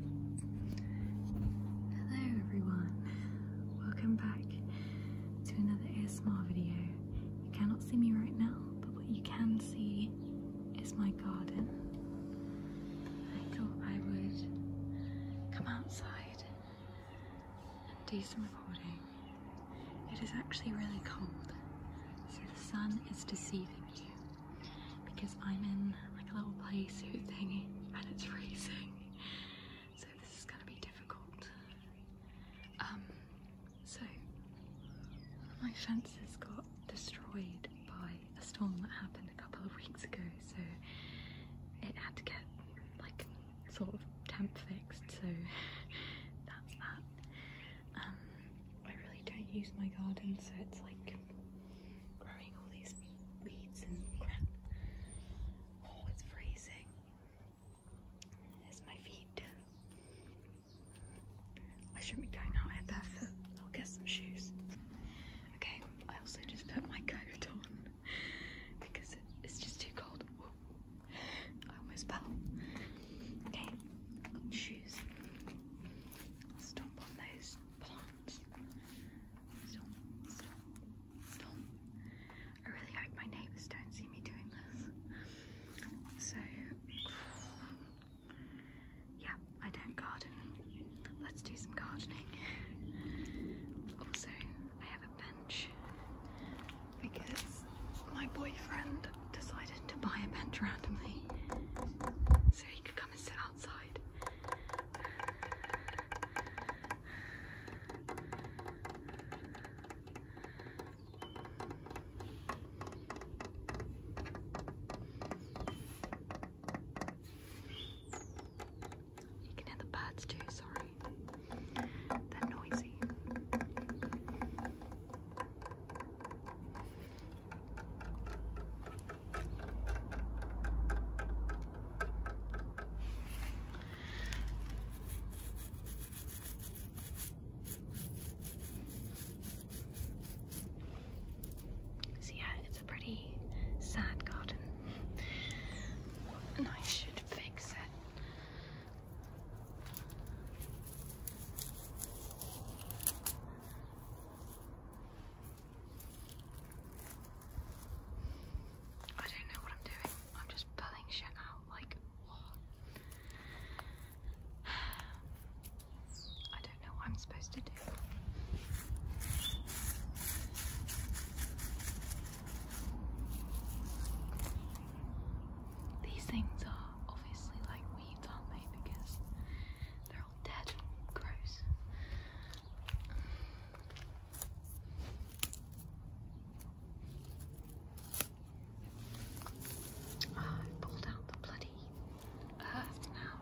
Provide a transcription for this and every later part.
Hello everyone, welcome back to another ASMR video. You cannot see me right now, but what you can see is my garden. I thought I would come outside and do some recording. It is actually really cold, so the sun is deceiving you because I'm in like a little play suit thingy and it's freezing. So this is gonna be difficult. Um, so one of my fences got destroyed by a storm that happened a couple of weeks ago. So it had to get like sort of temp fixed. So that's that. Um, I really don't use my garden, so it's like growing all these weeds and crap. Oh, it's freezing. There's my feet. I should be going out here barefoot. I'll get some shoes. Okay, I also just put my coat on because it's just too cold. I almost fell. Okay, shoes. I'll stomp on those. I really hope my neighbours don't see me doing this. So, yeah, I don't garden. Let's do some gardening. Also, I have a bench because my boyfriend decided to buy a bench randomly so he could come and sit outside. You can hear the birds too, sorry. They're noisy. So yeah, it's a pretty sad garden, and I should fix it. I don't know what I'm doing. I'm just pulling shit out like what? I don't know what I'm supposed to do. These things are obviously like weeds, aren't they? Because they're dead. Gross. Ah, I pulled out the bloody earth now.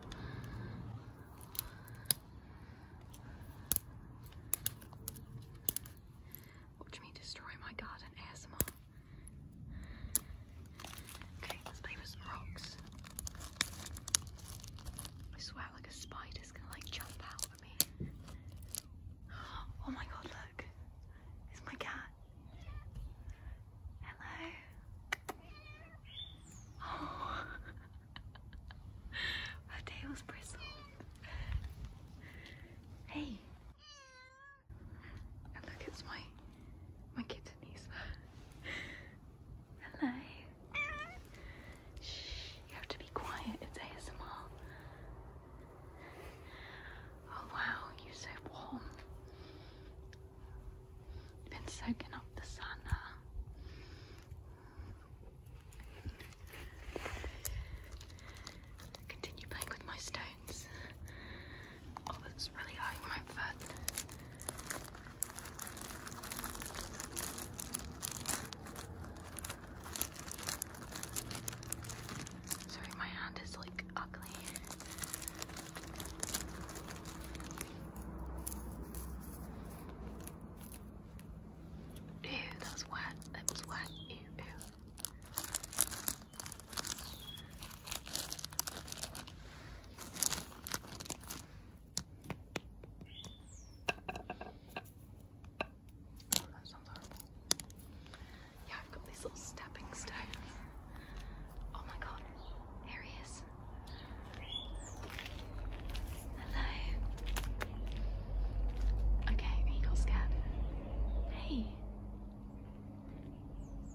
Watch me destroy my garden ASMR. Okay, let's play with some rocks. I swear like a spider's gonna like jump out at me. Oh my god, look. It's my cat. Hello. Oh. Her tail's bristled. Hey. And oh, look, it's my my kittenies. Hello. Shh, you have to be quiet. It's ASMR. Oh wow, you're so warm. been soaking up the sun, Continue playing with my stone. Oh, that's really high when i Sorry, my hand is like ugly. Ew, that wet. It wet. Ew, Oh, Yeah, I've got these little stepping stones. Oh my god, here he is. Hello. Okay, he Hey.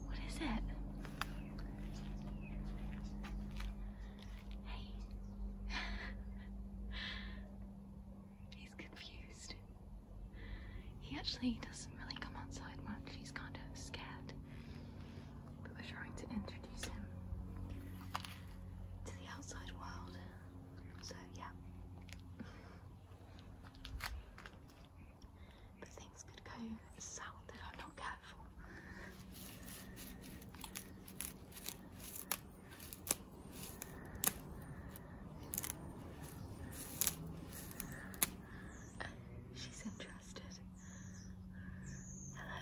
What is it? Hey. He's confused. He actually doesn't really come outside much. He's kind of scared. But we're trying to introduce him to the outside world. So, yeah. But things could go south if I'm not careful. she's interested. Hello.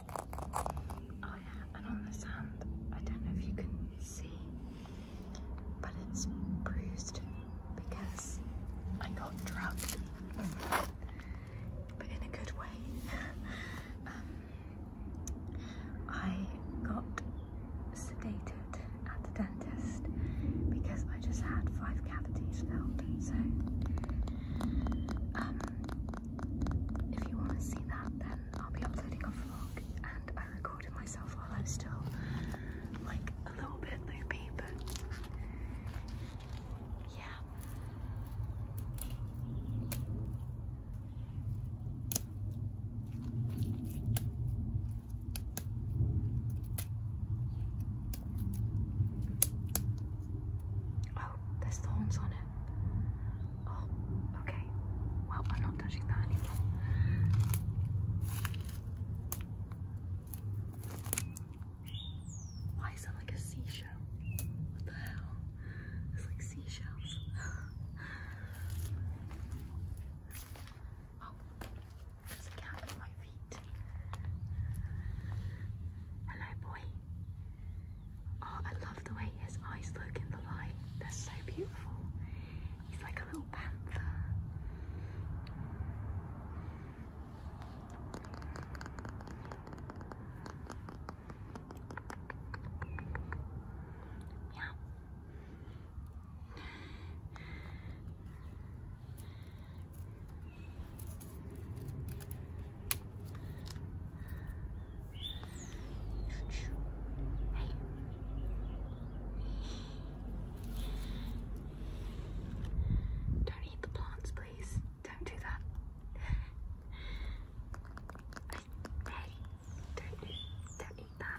Oh yeah, and on the sand, I don't know if you can see, but it's bruised because I got drugged, but in a good way. Um, I got sedated at the dentist because I just had five cavities filled, so um, if you want to see that, then I'll be uploading a vlog. And I recorded myself while I was still like a little bit loopy, but yeah. Oh, there's thorns on it. Oh, okay. Well, I'm not touching that anymore. Why is that like a seashell? What the hell? It's like seashells. oh, there's a cat at my feet. Hello, boy. Oh, I love the way his eyes look in the light. They're so beautiful. He's like a little panther. Yeah. Don't eat the plants, please. Don't do that. hey, don't eat, don't eat that.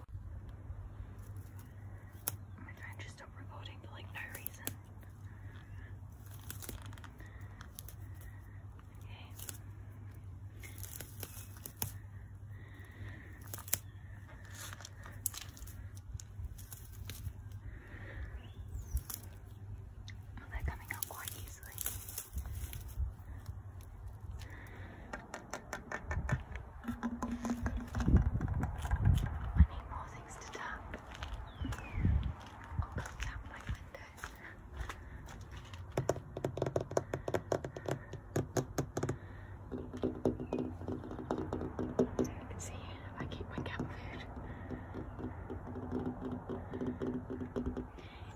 Oh my phone just stopped recording for like no reason. Okay. Well, oh, they're coming up quite easily. I need more things to tap. I'll come tap my window. so you can see I keep my cat food.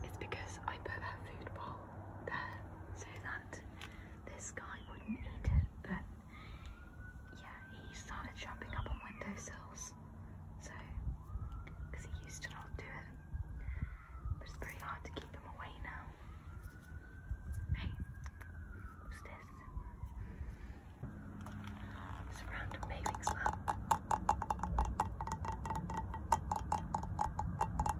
It's because I put her food bowl that so that this guy wouldn't eat it. But yeah, he started jumping up on windowsills. So, because he used to not do it. But it's pretty hard to keep him away now. Hey, what's this? It's a random bathing slab.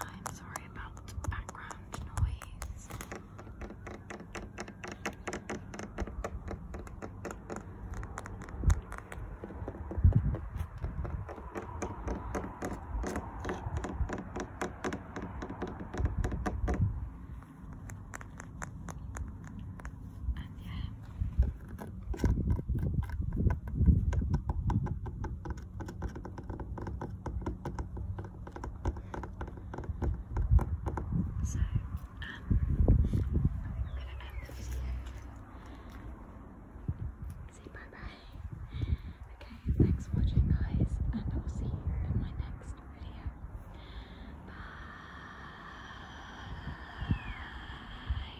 I'm sorry about background noise. And yeah, so, um, I am gonna end the video. Say bye bye. Okay, thanks for watching, guys, and I will see you in my next video. Bye.